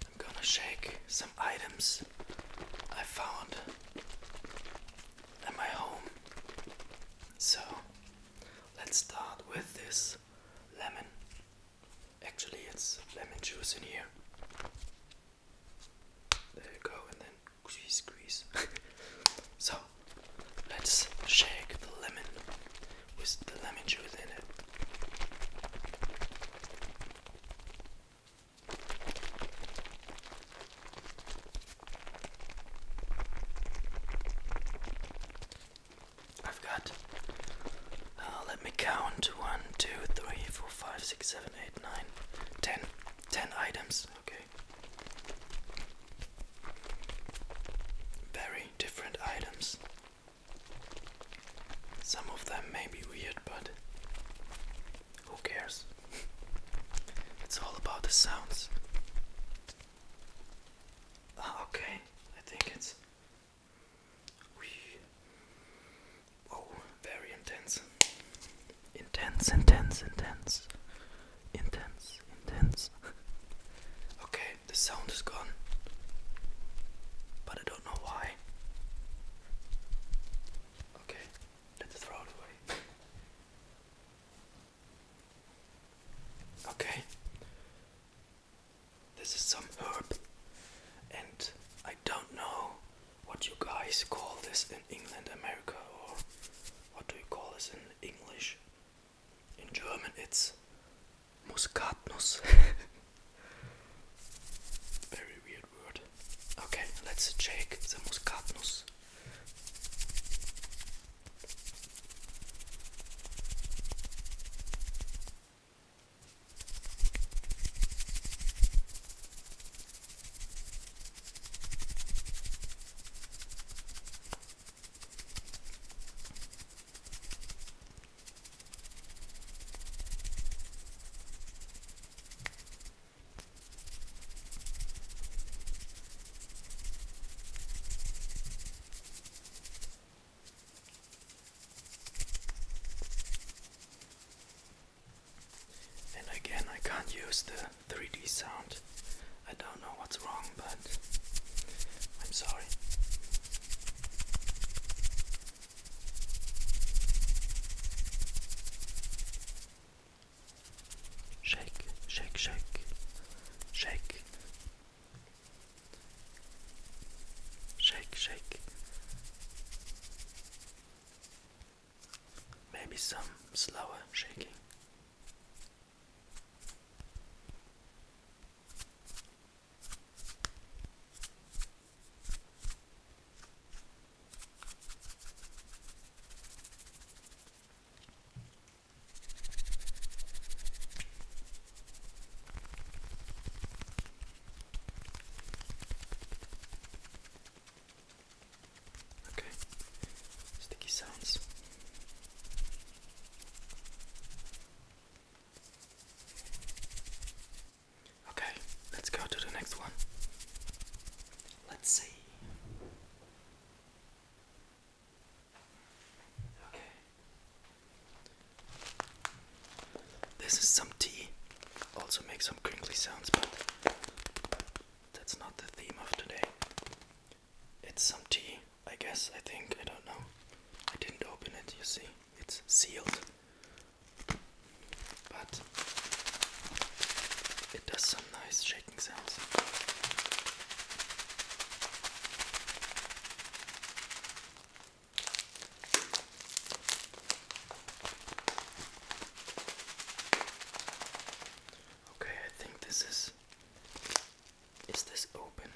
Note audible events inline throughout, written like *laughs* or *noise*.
I'm gonna shake some items I found at my home. So let's start with this lemon. Actually, it's lemon juice in here. There you go, and then squeeze, squeeze. *laughs* so let's shake the lemon with the lemon juice in it. I've got. Uh, let me count. One, two, three, four, five, six, seven, eight, nine, ten. Ten items. Okay. Very different items. Some of them may be weird, but who cares? *laughs* it's all about the sounds. Ah, okay, I think it's. Oh, very intense. Intense, intense, intense. Intense, intense. *laughs* okay, the sound is gone. But it don't know why. Okay, let's throw it away. Okay, this is some herb, and I don't know what you guys call this in England, America, or what do you call this in English? In German, it's Muskatnuss. *laughs* Very weird word. Okay, let's check the muskatnuss. And again, I can't use the 3D sound. I don't know what's wrong, but I'm sorry. Shake, shake, shake, shake, shake, shake. Maybe some slower shaking. Okay, sticky sounds. Okay, let's go to the next one. Let's see. Okay. This is some tea. Also makes some crinkly sounds, but that's not the theme of today. It's some tea, I guess, I think, I don't know. I didn't open it, you see. It's sealed but it does some nice shaking sounds. Okay, I think this is. Is this open?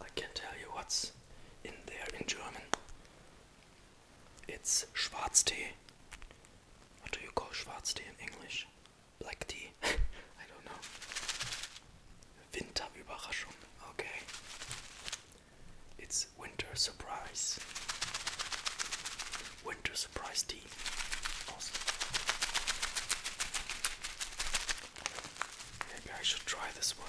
I can not tell you what's in there in German. It's Schwarztee. What do you call Schwarztee in English? black tea. *laughs* I don't know. Winterüberraschung. Okay. It's winter surprise. Winter surprise tea. Maybe I should try this one.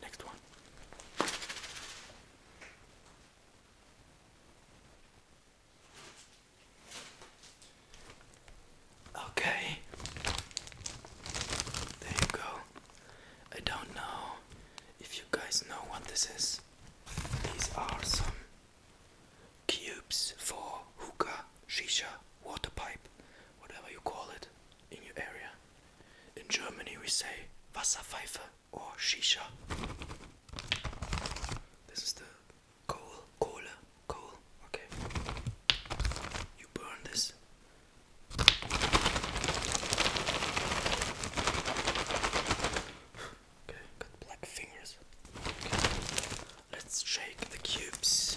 Next one. Okay. There you go. I don't know if you guys know what this is. These are some cubes for hookah, shisha, water pipe, whatever you call it in your area. In Germany, we say Wasserpfeife or Shisha. This is the coal, coal, coal. Okay. You burn this. Okay, got black fingers. Let's shake the cubes.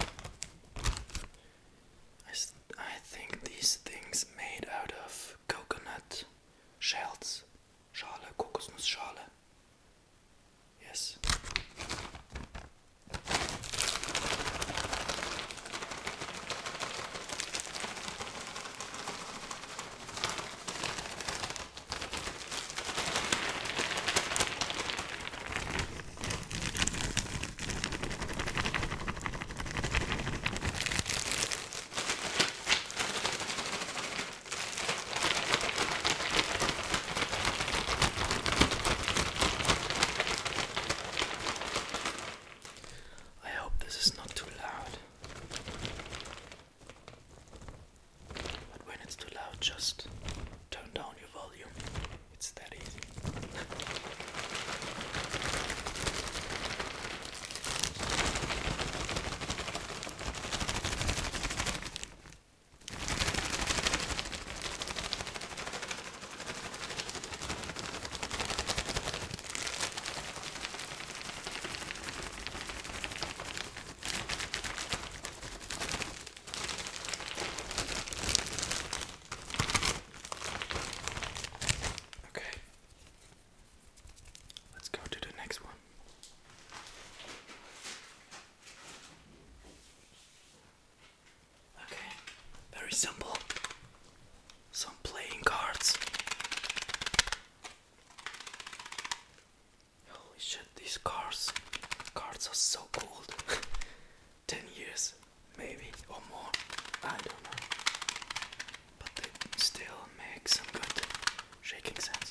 I, I think these things made out of coconut shells. Schale, Kokosnuss Schale. Yes. I hope this is not too loud. But when it's too loud, just turn down your volume. It's that easy. Okay. Let's go to the next one. Okay, very simple. Some playing cards. Holy shit, these cards. Cards are so cool. *laughs* 10 years, maybe, or more. I don't know. But they still make some good shaking sounds.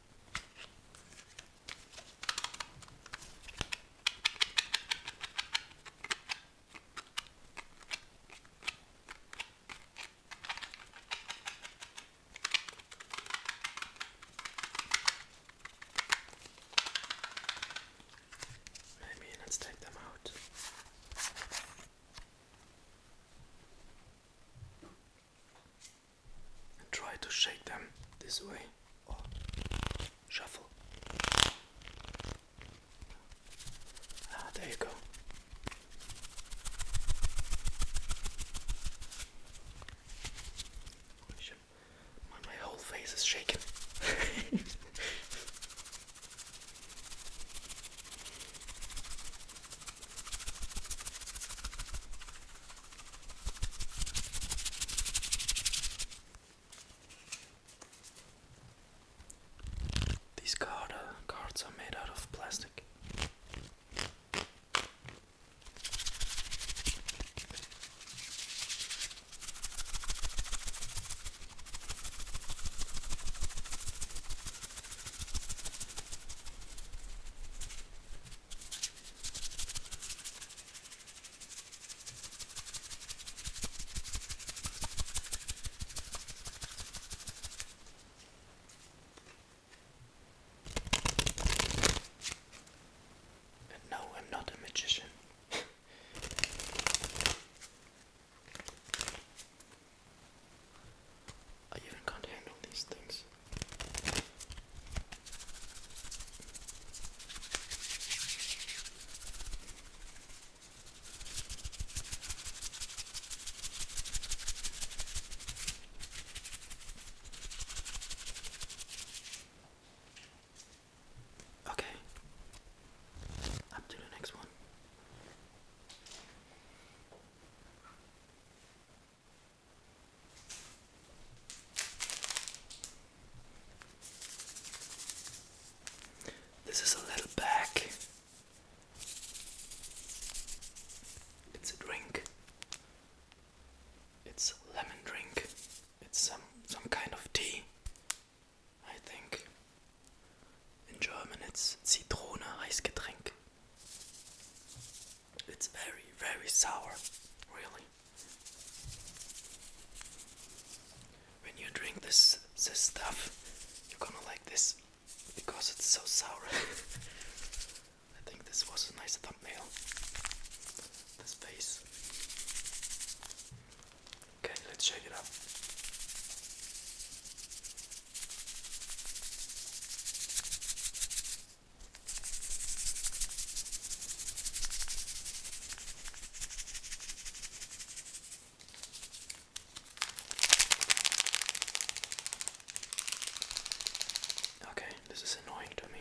I mean, let's take them out and try to shake them this way or oh, shuffle. Ah, there you go. my whole face is shaking. *laughs* These uh, cards are made out of plastic no, I'm not a magician. *laughs* I even can't handle these things. Okay, up to the next one. This is a little bag. It's a drink. It's a lemon drink. It's some some kind of tea. I think. In German it's Zitrone Heißgetränk. It's very, very sour, really. When you drink this, this stuff, you're gonna like this because it's so sour. *laughs* I think this was a nice thumbnail. This face. Okay, let's shake it up. Okay, this is annoying to me.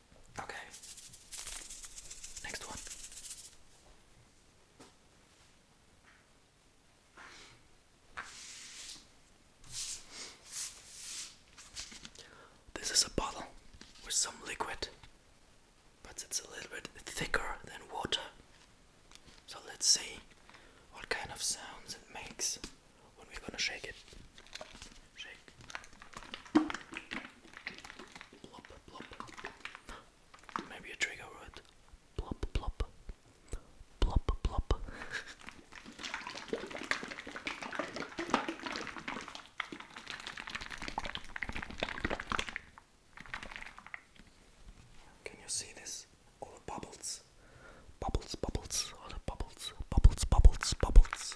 Okay. Next one. This is a bottle with some liquid, but it's a little bit thicker than water. So let's see what kind of sounds it makes when we're gonna shake it. Shake. Maybe a trigger word. Plop, plop. Plop, plop. Can you see this? All the bubbles. Bubbles, bubbles, all the bubbles, bubbles, bubbles, bubbles.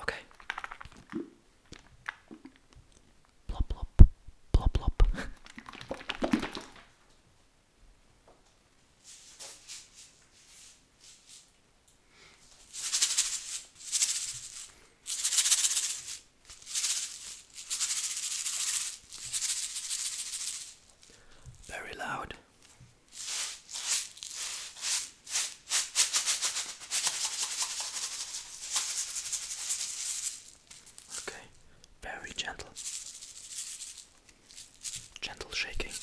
Okay. Plop plop plop plop. Very loud. Okay, very gentle. Gentle shaking. *laughs*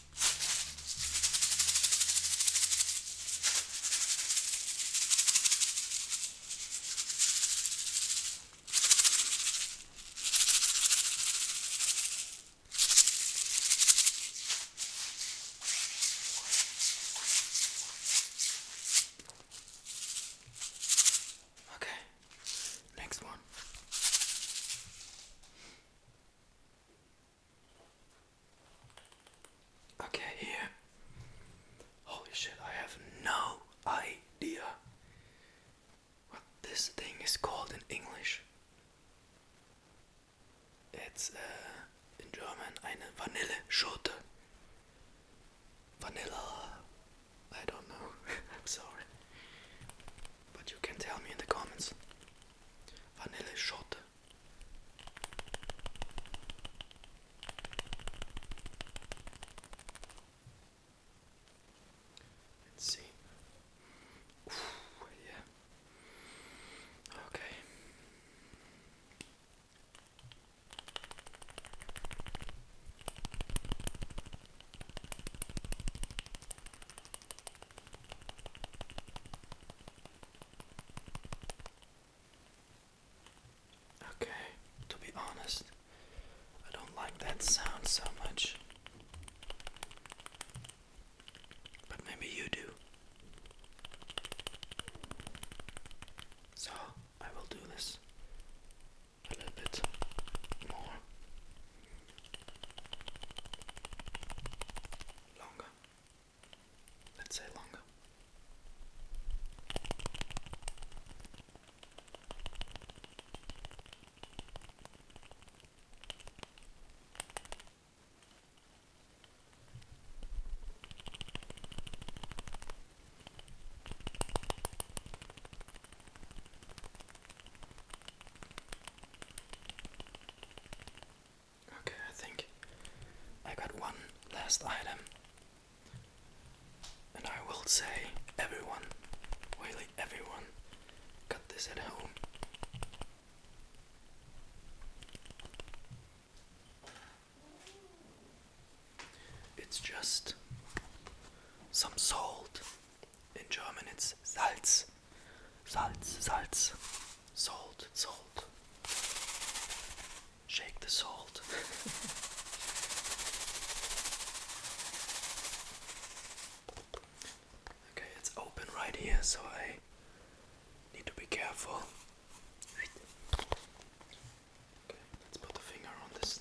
Okay, next one. Okay, here. Holy shit, I have no idea what this thing is called in English. It's uh, in German eine Vanilleschote. Vanilla. I don't know. *laughs* I'm sorry. But you can tell me in the comments. Vanilla shot. Let's see. yeah. Okay. Okay, to be honest, I don't like that sound so much. But maybe you do. So I will do this a little bit more. Longer. Let's say longer. Okay, I think I got one last item. And I will say everyone, really everyone, got this at home. It's just some salt in German, it's Salz. Salz, Salz. Salt, salt. Shake the salt. *laughs* okay, it's open right here, so I need to be careful. Okay, let's put the finger on this.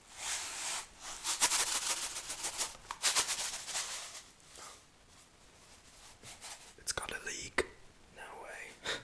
It's got a leak. No way. *laughs*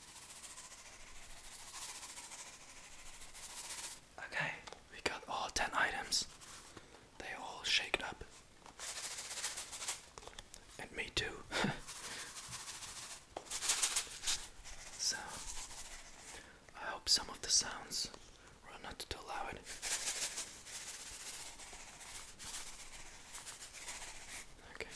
Okay, we got all 10 items. They all shaked up. And me too. *laughs* so, I hope some of the sounds were not too loud. Okay.